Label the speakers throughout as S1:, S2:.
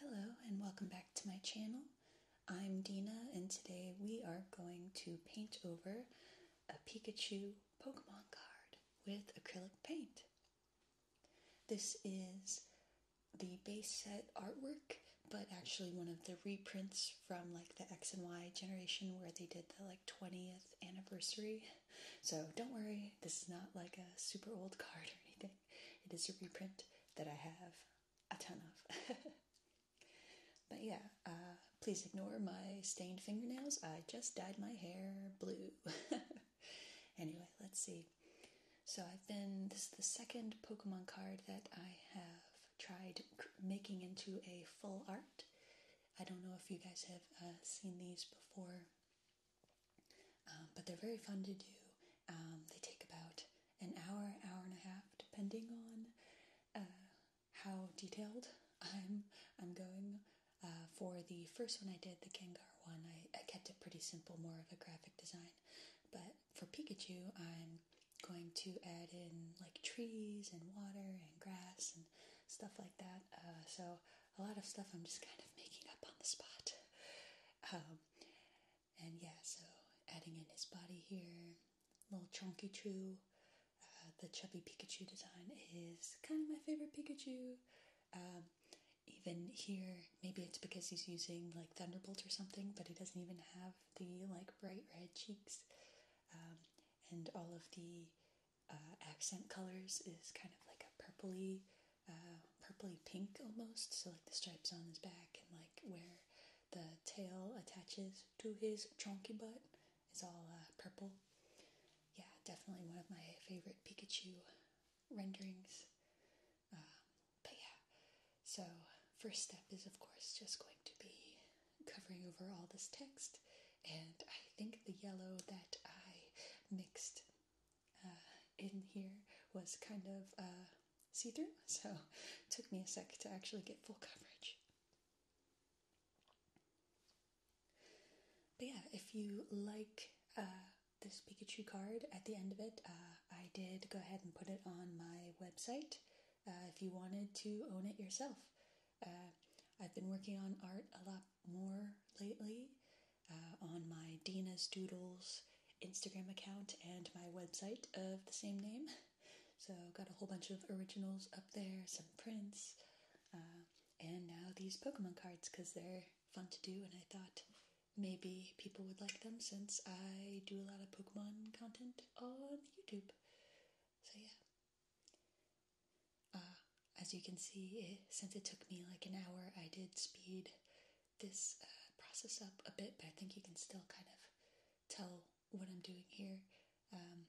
S1: Hello and welcome back to my channel. I'm Dina and today we are going to paint over a Pikachu Pokemon card with acrylic paint. This is the base set artwork but actually one of the reprints from like the X and Y generation where they did the like 20th anniversary. So don't worry, this is not like a super old card or anything. It is a reprint that I have a ton of. but yeah, uh, please ignore my stained fingernails. I just dyed my hair blue. anyway, let's see. So I've been, this is the second Pokemon card that I have tried making into a full art. I don't know if you guys have uh, seen these before um, but they're very fun to do. Um, they take about an hour, hour and a half, depending on uh, how detailed I'm I'm going. Uh, for the first one I did, the Gengar one, I, kept it pretty simple, more of a graphic design. But for Pikachu, I'm going to add in like trees and water and grass and stuff like that. Uh, so a lot of stuff I'm just kind of making up on the spot. Um, um, and yeah, so adding in his body here, little chonky chew. Uh, the chubby Pikachu design is kind of my favorite Pikachu. Um, even here, maybe it's because he's using like Thunderbolt or something, but he doesn't even have the like bright red cheeks. Um, and all of the uh, accent colors is kind of like a purpley uh, purpley pink almost, so like the stripes on his back and like where the tail attaches to his chonky butt is all uh, purple. Yeah, definitely one of my favorite Pikachu renderings. Um, but yeah, so first step is of course just going to be covering over all this text, and I think the yellow that I mixed uh, in here was kind of uh, see through, so it took me a sec to actually get full coverage. But yeah, if you like uh, this Pikachu card at the end of it, uh, I did go ahead and put it on my website if you wanted to own it yourself. I've been working on art a lot more lately, uh, on my Dina's Doodles Instagram account and my website of the same name. So, got a whole bunch of originals up there, some prints, uh, and now these Pokemon cards because they're fun to do, and I thought maybe people would like them since I do a lot of Pokemon content on YouTube. So, yeah. Uh, as you can see, since it took me like an hour, I did speed this uh, process up a bit, but I think you can still kind of tell what I'm doing here. Um,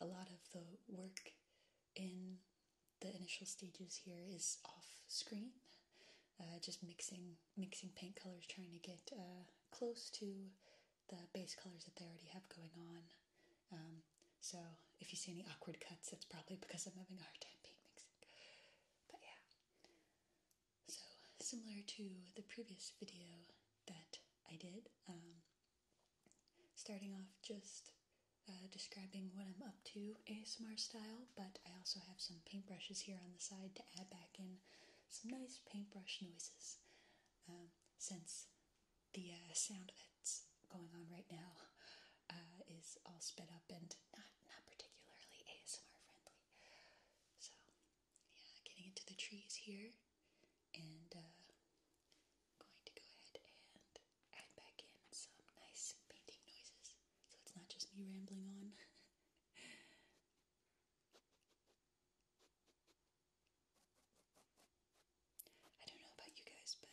S1: a lot of the work in the initial stages here is off screen, uh, just mixing mixing paint colors, trying to get uh, close to the base colors that they already have going on. Um, so if you see any awkward cuts, that's probably because I'm having a hard time paint mixing. But yeah. So, similar to the previous video that I did, um, starting off just uh, describing what I'm up to ASMR style, but I also have some paintbrushes here on the side to add back in some nice paintbrush noises um, since the uh, sound that's going on right now uh, is all sped up and not not particularly ASMR friendly. So yeah, getting into the trees here and uh, going to go ahead and add back in some nice painting noises. So it's not just me rambling on. I don't know about you guys, but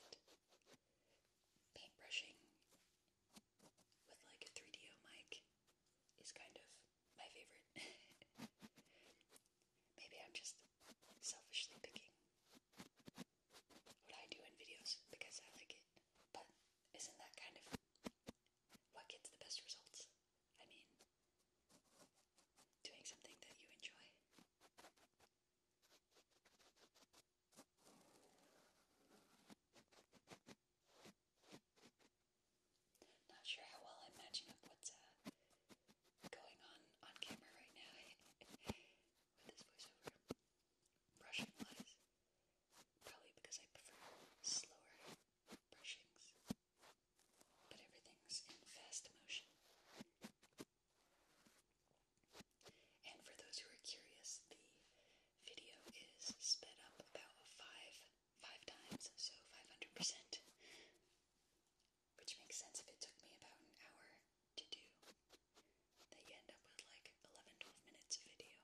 S1: paintbrushing with like a 3DO mic is kind of my favorite. Maybe I'm just selfishly picking what I do in videos because I like it, but isn't that kind of what gets the best results? I mean, doing something that you enjoy. Not sure how well I'm matching up what's uh, going on on camera right now with this voiceover. Brushing wise, probably because I prefer slower brushings, but everything's in fast motion. And for those who are curious, the video is sped up about five five times, so 500%, which makes sense if it took me about an hour to do. That you end up with like 11 minutes of video,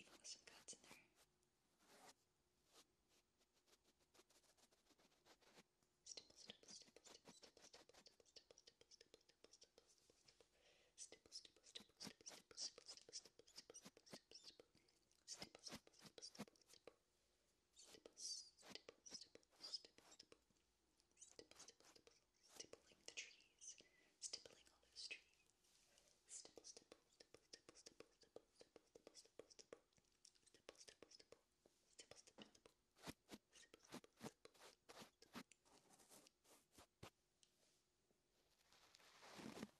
S1: even with some cuts in there stipple, stipple, stipple, stipple, stipple, stipple, stipple, stipple, stipple, stipple, stipple, stipple, stipple, stipple, Stipple, stipple, stipple, stipple, stipple, stipple, stipple, stipple, stippling the trees, stippling all those trees. Stipple, stipple, stipple, stipple, stipple, stipple, stipple, stipple, stipple, stipple, stipple, stipple, stipple, stipple, stipple, stipple, stipple, stipple, stipple, stipple, I think out of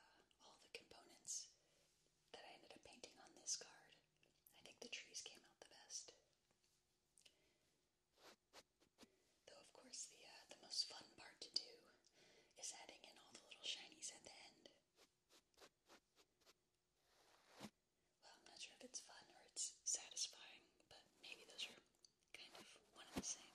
S1: uh, all the components that I ended up painting on this card, I think the trees came out the best. Though of course the uh, the most fun part to do is adding in all the little shinies at the end. Well, I'm not sure if it's fun or it's satisfying, but maybe those are kind of one and the same.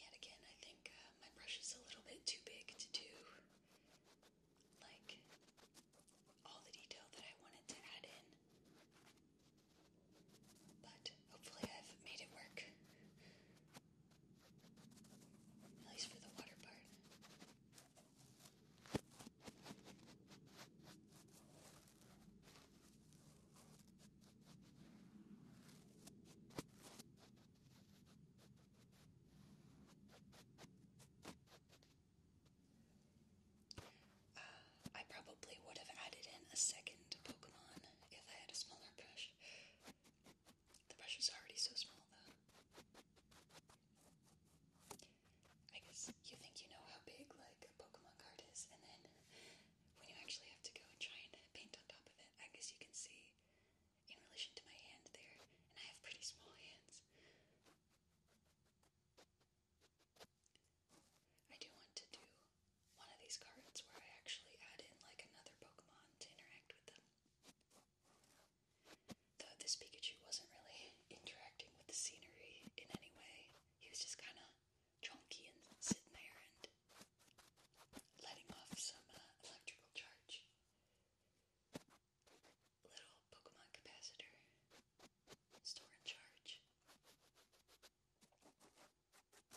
S1: Yet again, I think uh, my brush is a little bit too big to do like all the detail that I wanted to add in. But hopefully, I've made it work. At least for the water part. Uh, I probably would have added in a second Pokemon if I had a smaller brush. The brush is already so small, though. I guess you think you know how big, like, a Pokemon card is, and then when you actually have to go and try and paint on top of it, I guess you can see in relation to my hand there, and I have pretty small hands. I do want to do one of these cards where I actually add in like another Pokemon to interact with them. Though this Pikachu wasn't really interacting with the scenery in any way, he was just kind of chonky and sitting there and letting off some uh, electrical charge. Little Pokemon capacitor, store and charge.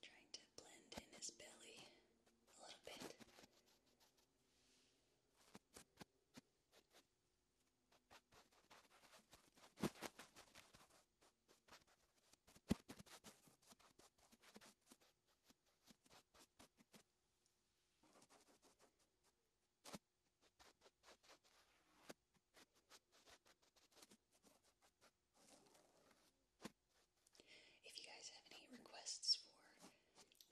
S1: Trying to blend in his belly a little bit. If you guys have any requests for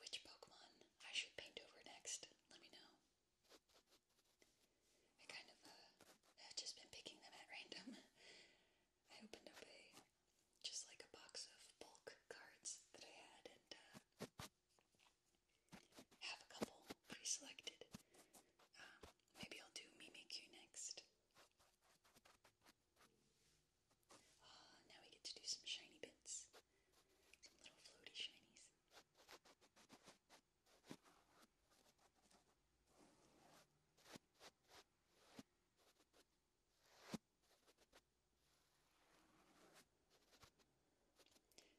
S1: which Pokemon I should paint over next, let me know. I kind of uh, have just been picking them at random. I opened up a just like a box of bulk cards that I had, and uh, have a couple pre-selected. Um, maybe I'll do Mimikyu next. Oh, now we get to do some shiny bits. Some little floaty shinies.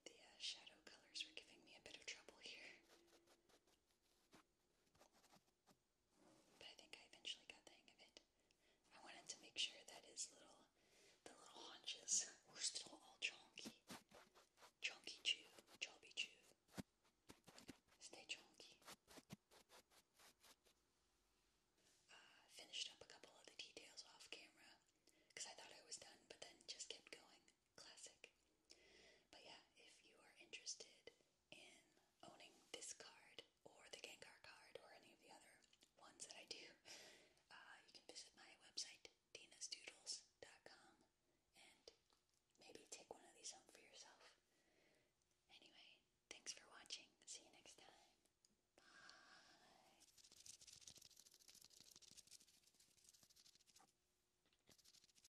S1: The uh, shadow colors were giving me a bit of trouble here. But I think I eventually got the hang of it. I wanted to make sure that his little, the little haunches were still all chonky. Chonky chew, chobby chew. Stay chonky. Uh, finished up a couple of the details off camera because I thought I was done, but then just kept going classic. But yeah, if you are interested in owning this card or the Gengar card or any of the other ones that I do, uh, you can visit my website, dinastoodles.com, and maybe take one of these home for yourself. Anyway, thanks for watching. See you next time. Bye.